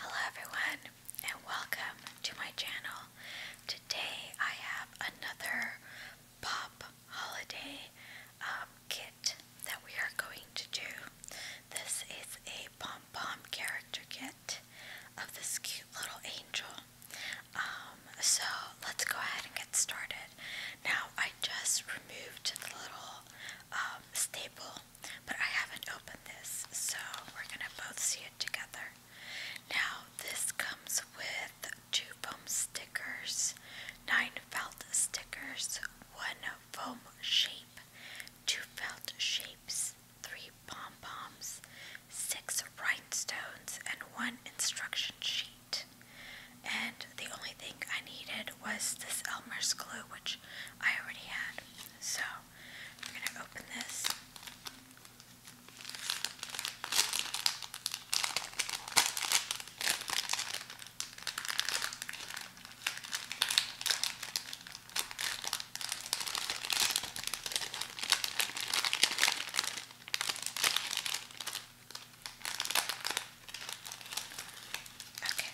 Hello everyone and welcome to my channel. Today I have another pop holiday um, kit that we are going to do. This is a pom-pom character kit of this cute little angel. Um, so let's go ahead and get started. Now I just removed the little um, staple, but I haven't opened this, so we're gonna both see it together. Now, this comes with two foam stickers, nine felt stickers, one foam shape, two felt shapes, three pom poms, six rhinestones, and one instruction sheet. And the only thing I needed was this Elmer's glue, which I already had. So we're going to open this. Okay.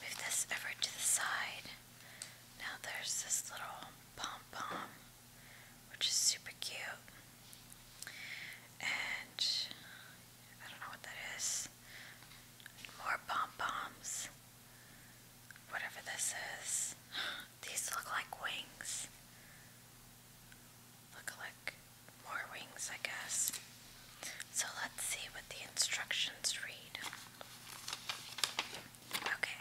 Move this over to the side. Now there's this little pom pom, which is super cute. And I don't know what that is. More pom poms. Whatever this is. These look like wings. Look like more wings, I guess. So let's see what the instructions read. Okay,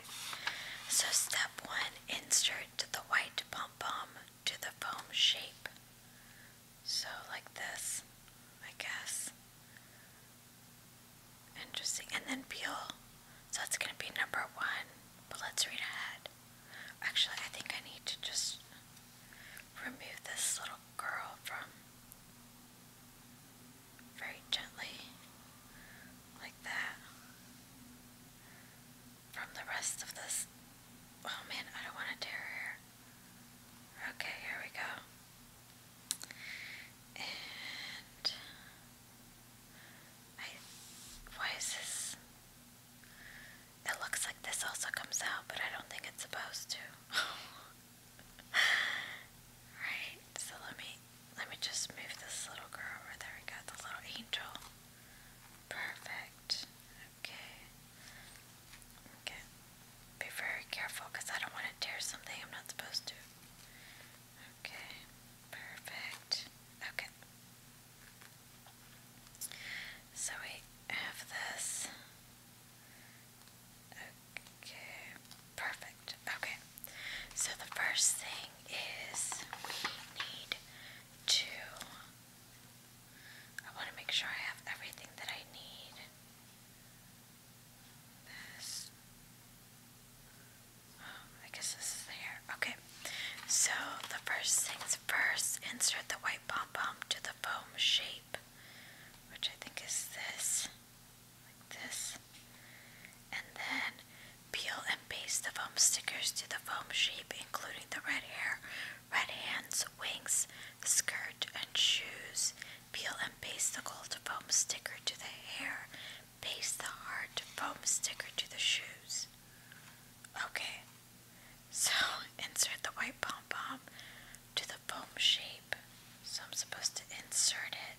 so step one insert the white pom pom to the foam shape. So, like this, I guess. Interesting. And then peel. So, that's going to be number one. But let's read ahead. Actually, I think I need to just remove this little curl from very gently, like that, from the rest of this. Oh man, I don't want to tear hair. Okay, here we go. And why is this? It looks like this also comes out, but I don't think it's supposed to. right, so let me let me just move this little girl over there. We got the little angel. Perfect. Okay. Okay. Be very careful because I don't want to tear something I'm not supposed to. Okay. Perfect. Okay. So we have this. Okay, perfect. Okay, so the first thing is we need to. I want to make sure I have everything that I need. This. Oh, I guess this is there. Okay, so the first things first insert the white pom pom to the foam shape which I think is this, this. And then peel and paste the foam stickers to the foam shape, including the red hair, red hands, wings, skirt, and shoes. Peel and paste the gold foam sticker to the hair. Paste the heart foam sticker to the shoes. Okay, so insert the white pom pom to the foam shape. So I'm supposed to insert it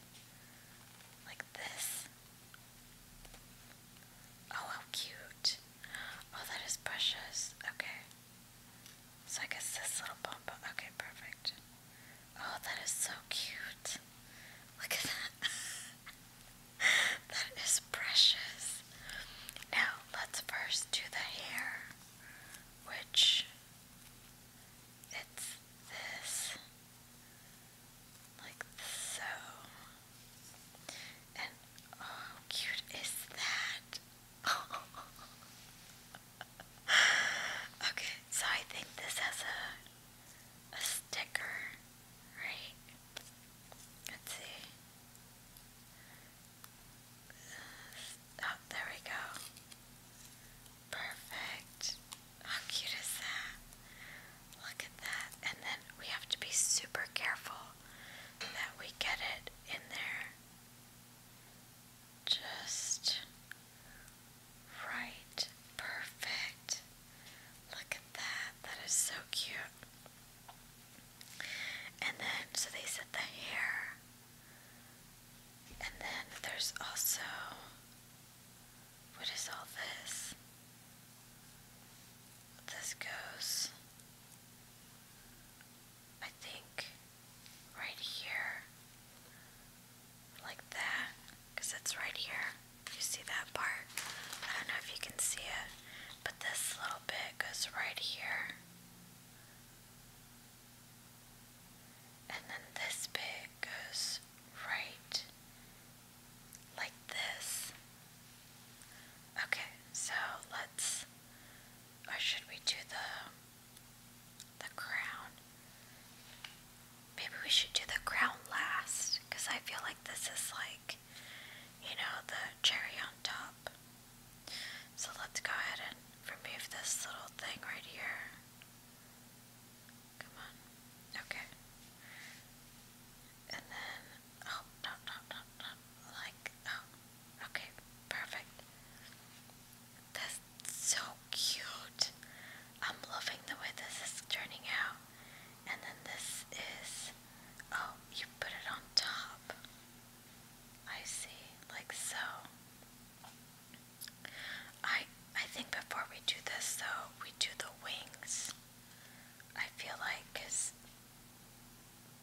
like this. Oh, how cute. Oh, that is precious. Okay. So I guess this little bump. Okay, perfect. Oh, that is so cute. Look at that. that is precious. Now, let's first do the hair, which it's this, like so. And oh, how cute is that? okay, so I think this has a a sticker, right? Let's see. Oh, there we go. Perfect. How cute is that? Look at that. And then we have to be super careful that we get it in there just right. Perfect. Look at that. That is so cute. And then, so they said the hair and then there's also what is all this? This goes, I think, right here, like that, because it's right here. You see that part? I don't know if you can see it, but this little bit goes right here. And then this bit goes right like this. Okay, so let's or should we do the the crown? Maybe we should do the crown last cuz I feel like this is like you know the cherry on top. So let's go ahead and remove this little thing right here. Come on. Okay. And then, oh, no, no, no, no. Like, oh, okay, perfect. That's so cute. I'm loving the way this is turning out. And then this is, oh, you put it on top. I see, like so. I I think before we do this though, we do the wings. I feel like cause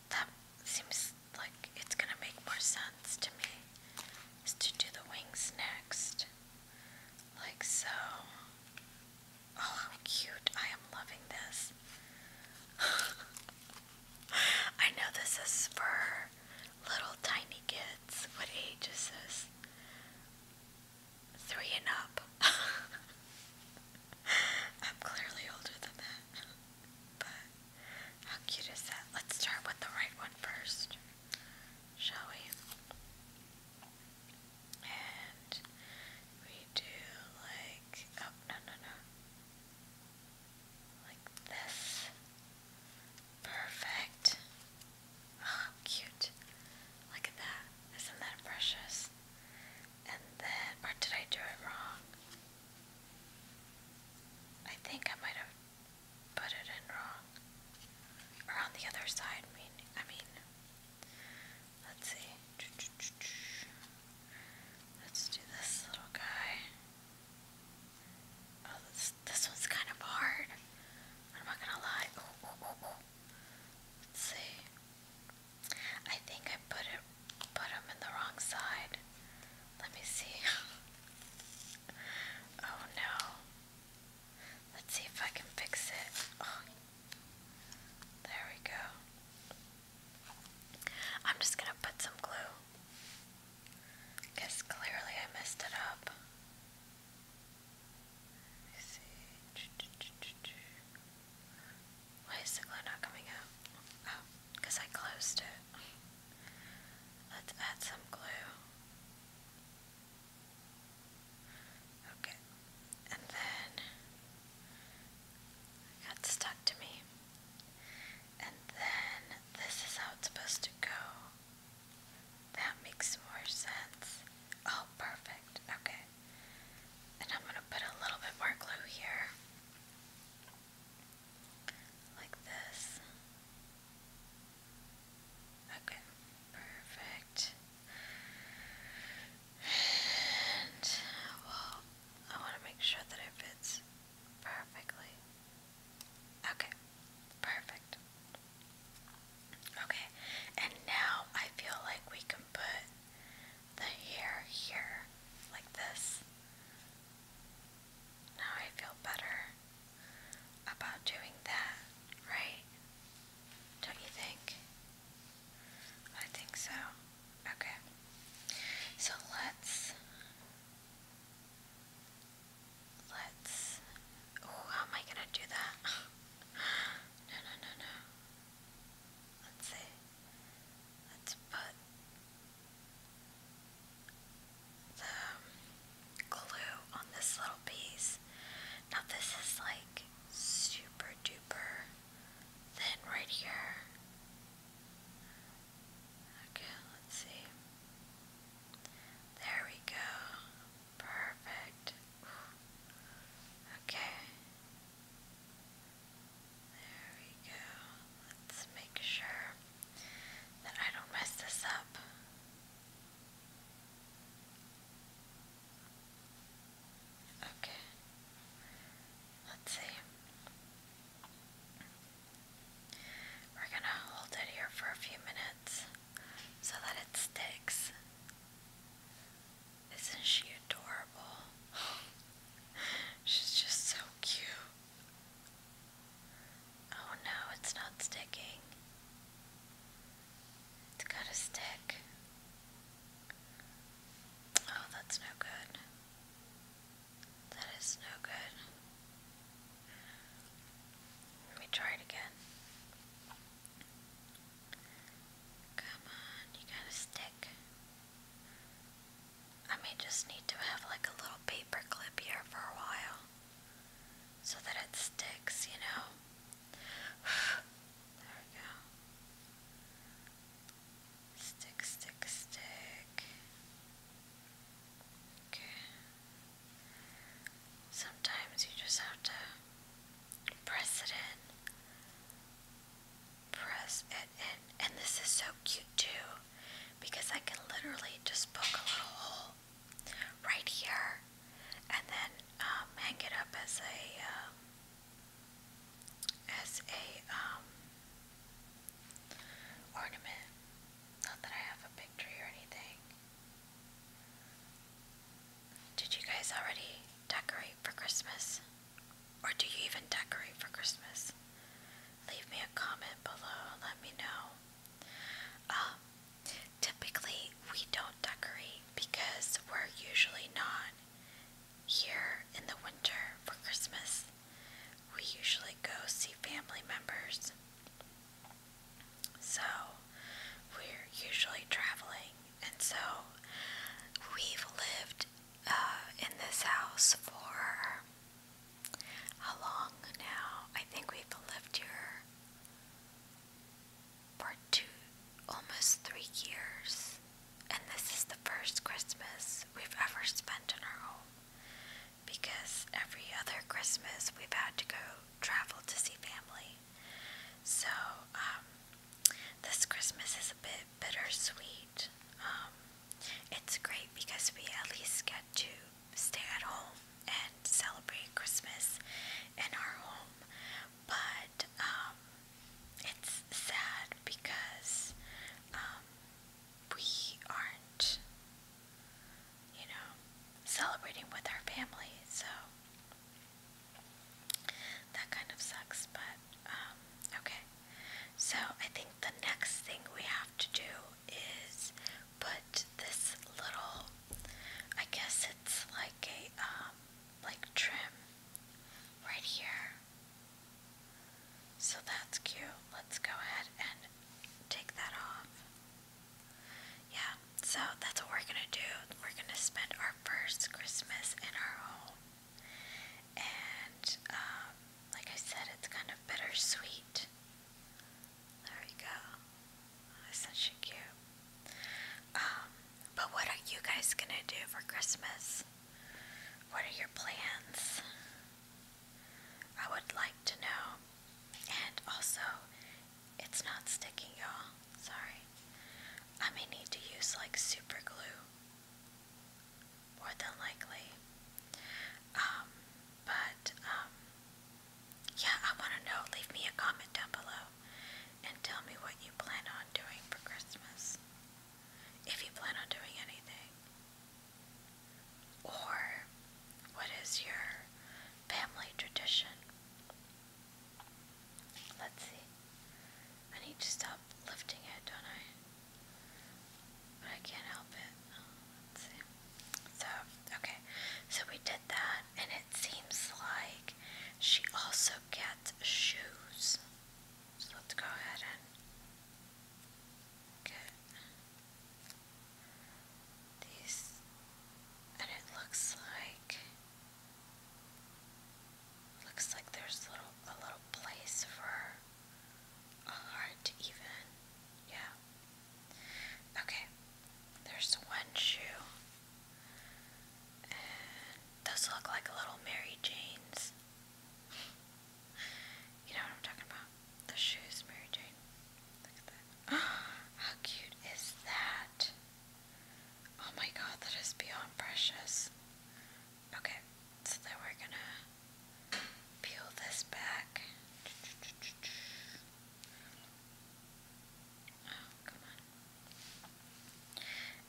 that seems like it's gonna make more sense to me is to do the wings next. Like so. Oh, how cute. I am loving this. I know this is for little tiny kids. What age is this? Three and up. I'm clearly older than that. But how cute is that? Let's start with the right one first, shall we? And we do like, oh, no, no, no. Like this. Perfect. Oh, cute. Look at that. Isn't that precious? And then, or did I do it wrong? I think I might have put it in wrong. Or on the other side, I mean, let's see. Let's do this little guy. Oh, this, one's kind of hard. I'm not gonna lie. Let's see. I think I put it, put them in the wrong side. Let me see. oh no. Let's see if I can fix it. Oh. There we go. I'm just gonna put some glue. Guess clearly I messed it up. Let me see. Why is the glue not coming out? Oh, because I closed it. Let's add some glue. Okay, and then it got stuck to me. And then this is how it's supposed to go. That makes more sense. Oh, perfect. Okay. And I'm going to put a little bit more glue here. Like this. Okay, perfect. And well, I want to make sure that it fits perfectly. Okay, perfect. Okay, and now I feel like we can put the hair here, like this. Now I feel better about doing that, right? Don't you think? I think so. Okay. So let's Let's. how am I gonna do that? no, no, no, no. Let's see. Let's put the glue on this little piece. Now, this is like super duper thin right here. Okay, let's see. There we go. Perfect. Okay. There we go. Let's make sure that I don't mess this up. Okay. Let's see. We're going to hold it here for a few minutes so that it sticks. Isn't she adorable? She's just so cute. Oh no, it's not sticking. It's gotta stick. Oh, that's no good. That is no good. Let me try it again. Come on, you gotta stick. I may just need to have like a little paper clip here for a while so that it sticks, you know. there we go. Stick, stick, stick. Sometimes you just have to press it in. Press it in. And this is so cute too because I can literally just poke a little hole right here and then um, hang it up as a um, as a um, ornament. Not that I have a picture or anything. Did you guys already decorate for Christmas? Or do you even decorate for Christmas? Leave me a comment below let me know. Um, typically, we don't decorate because we're usually not here in the winter for Christmas we usually go see family members. So, we're usually traveling, and so we've lived uh, in this house for how long now? I think we've lived here for two, almost three years, and this is the first Christmas we've ever spent in our home because every other Christmas we've had to go travel to see family. So, um, this Christmas is a bit bittersweet. Um, it's great because we at least get to stay at home and celebrate Christmas in our home, but um, it's sad because we aren't, you know, celebrating with our family, so that kind of sucks, but um, okay. So I think the next thing we have to do is put this little, I guess it's like a, um, like trim right here so that's cute. Let's go ahead and take that off. Yeah, so that's what we're gonna do. We're gonna spend our first Christmas in our home. And, um, like I said, it's kind of bittersweet. There we go. Isn't she cute? Um, but what are you guys gonna do for Christmas? What are your plans? I would like to know. And also, it's not sticking, y'all. Sorry. I may need to use like super glue. More than likely. Um, but, um, yeah, I want to know. Leave me a comment down below and tell me what you plan on doing for Christmas. If you plan on doing anything. Or what is your family tradition? Let's see. I need to stop lifting it, don't I? But I can't help it. let's see. So, okay. So we did that, and it seems like she also gets shoes. So let's go ahead and get these, and it looks like looks like there's a little place for a heart even, yeah. Okay, there's one shoe, and those look like little Mary Janes. You know what I'm talking about? The shoes, Mary Jane. Look at that. How cute is that? Oh my god, that is beyond precious. Okay, so then we're gonna peel this back. Oh, come on.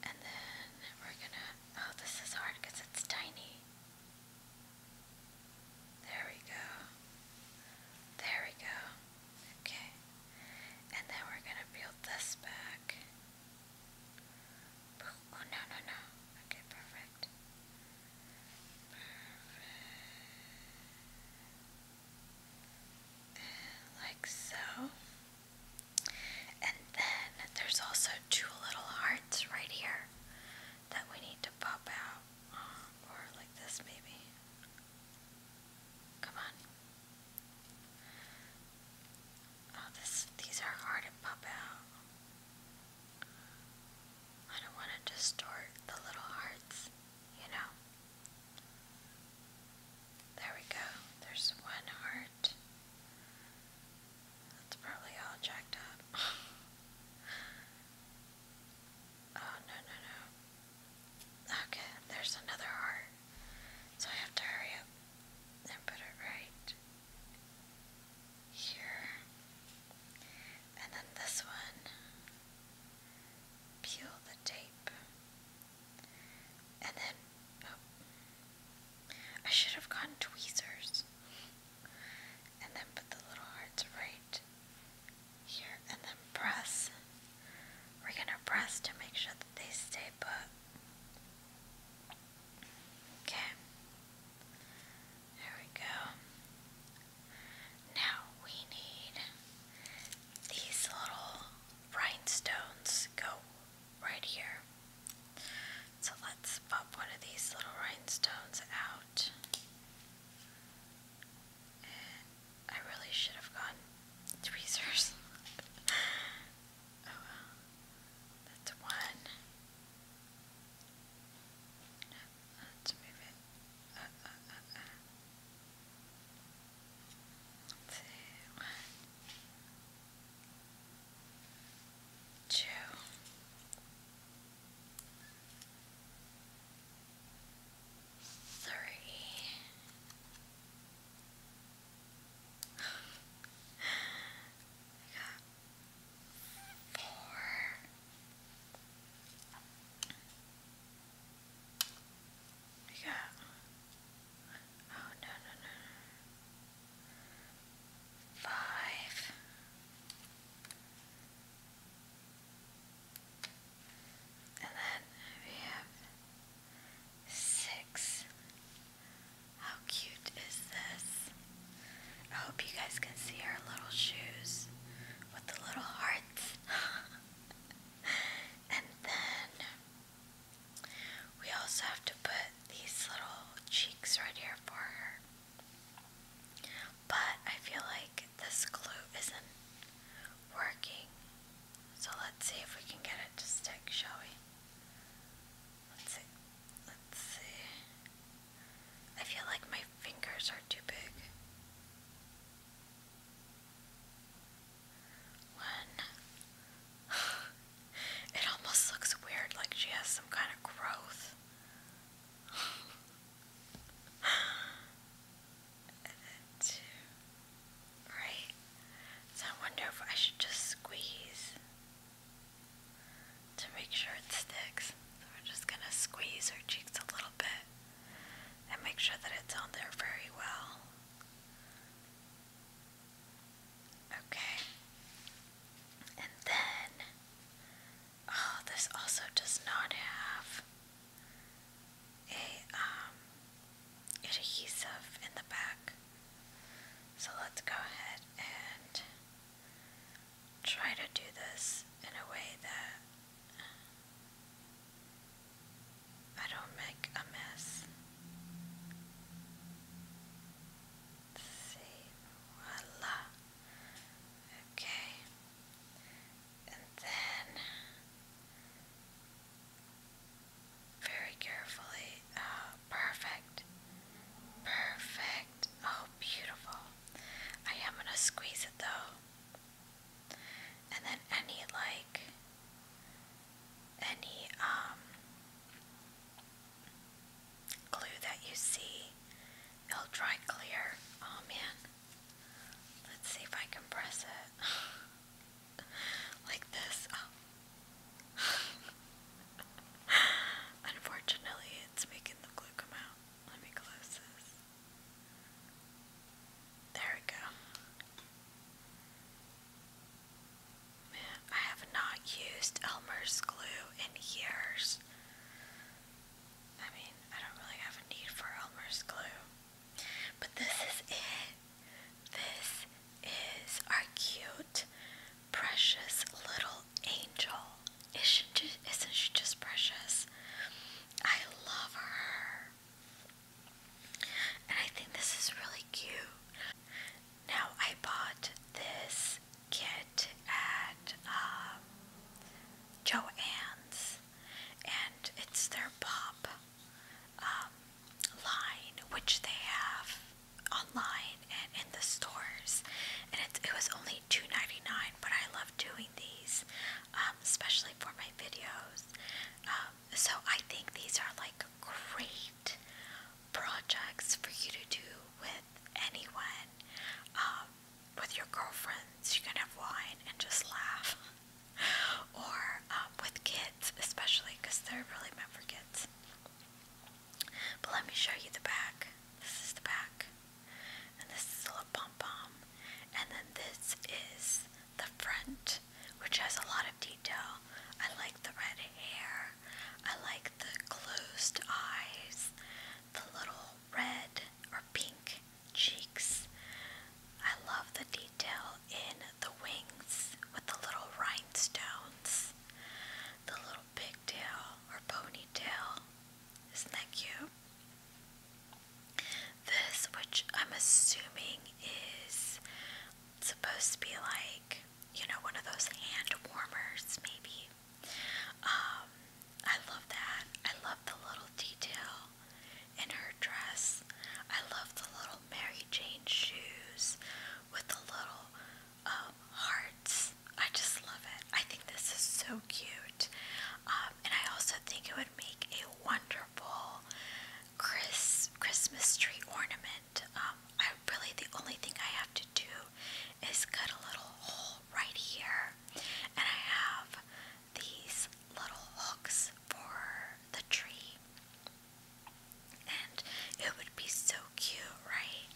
And then we're gonna. Oh, this is hard because it's tiny. There we go. There we go. Okay. And then we're going to build this back. Oh, no, no, no. Okay, perfect. Perfect. Like so. And then there's also two little hearts right here that we need to pop out. Um, or like this, maybe. Come on. Oh, this, these are hard to pop out. I don't want to distort the little hearts, you know. There we go. There's one heart. That's probably all jacked up. oh, no, no, no. Okay, there's another heart. So I have to hurry up and put it right here. And then this one. Peel the tape. And then, oh, I should have gotten tweezers and then put the little hearts right here and then press. We're gonna press to make sure that they stay put. Okay. There we go. Now we need these little rhinestones go right here. So let's pop one of these little rhinestones out out. And I really should have gotten tweezers. oh That's one. Let's move it. Uh, uh, uh, uh. Two three. I got four. I got. Oh no no no! five, and then we have six. How cute is this? I hope you guys can see her little shoes with the little hearts. and then we also have to put these little cheeks right here for her. But I feel like this glue isn't working. So let's see if we can get it to stick, shall we? Let's see. Let's see. I feel like my fingers are too big. One. it almost looks weird, like she has some kind of growth and Right? So I wonder if I should just squeeze to make sure it sticks. So we're just gonna squeeze her cheeks a little bit and make sure that it's on there very well. Okay. And then Oh, this also does not have a um, adhesive in the back. So let's go ahead and try to do this in a way that I don't make a mess. Let's see, voila. Okay. And then very carefully. Uh, perfect. Perfect. Oh, beautiful. I am going to squeeze it though. And then any, like, any, um, Glue that you see, it'll dry clear. Oh man. Let's see if I can press it. like this. Oh. Unfortunately, it's making the glue come out. Let me close this. There we go. Man, I have not used Elmer's glue in years. I mean, I don't really have a need for Elmer's glue. But this is it. This is our cute, precious little angel. Isn't she, just precious? I love her. And I think this is really cute. Now, I bought this this kit at um, and it's their pop um, line, which they have online and in the stores. And it, it was only $2.99, but I love doing these, um, especially for my videos. Um, so I think these are like great projects for you to do with with anyone, um, with your girlfriends, you can have wine and just laugh, or um, with kids, especially because they're really meant for kids. But let me show you the back. This is the back, and this is a pom pom, and then this is the front, which has a lot of detail. I like the red hair, I like the closed eyes, the little red or pink cheeks. I love the detail in the wings with the little rhinestones, the little pigtail or ponytail. Isn't that cute? This, which I'm assuming is supposed to be like, you know, one of those hand warmers, maybe, um, I love that. I love the little detail in her dress. I love the little Mary Jane shoes with the little um, hearts. I just love it. I think this is so cute. Um, and I also think it would make a wonderful Chris Christmas tree ornament. Um, I really the only thing I have to do is cut a little hole right here, and I have these little hooks for the tree. And it would be so cute, right?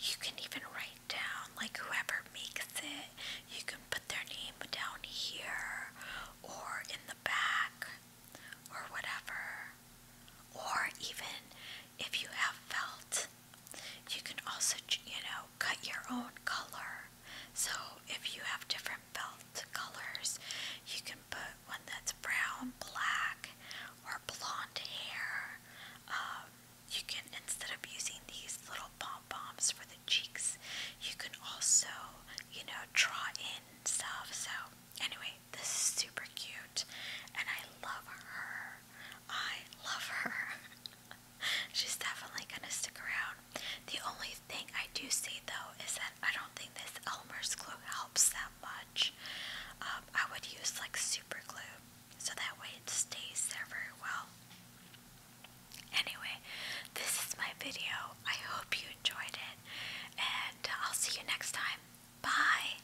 You can even write down, like, whoever makes it, you can put their name down here or in the back or whatever. Or even if you have felt you can also, you know, cut your own color. So if you have different belt colors, you can put one that's brown, black, or blonde hair. Um, you can, instead of using these little pom poms for the cheeks, you can also, you know, draw in stuff. So, anyway, this is super cute, and I love her. I love her. She's definitely gonna stick around. The only thing I do see though is that I don't think this Elmer's glue helps that much. Um, I would use like super glue so that way it stays there very well. Anyway, this is my video. I hope you enjoyed it, and I'll see you next time. Bye!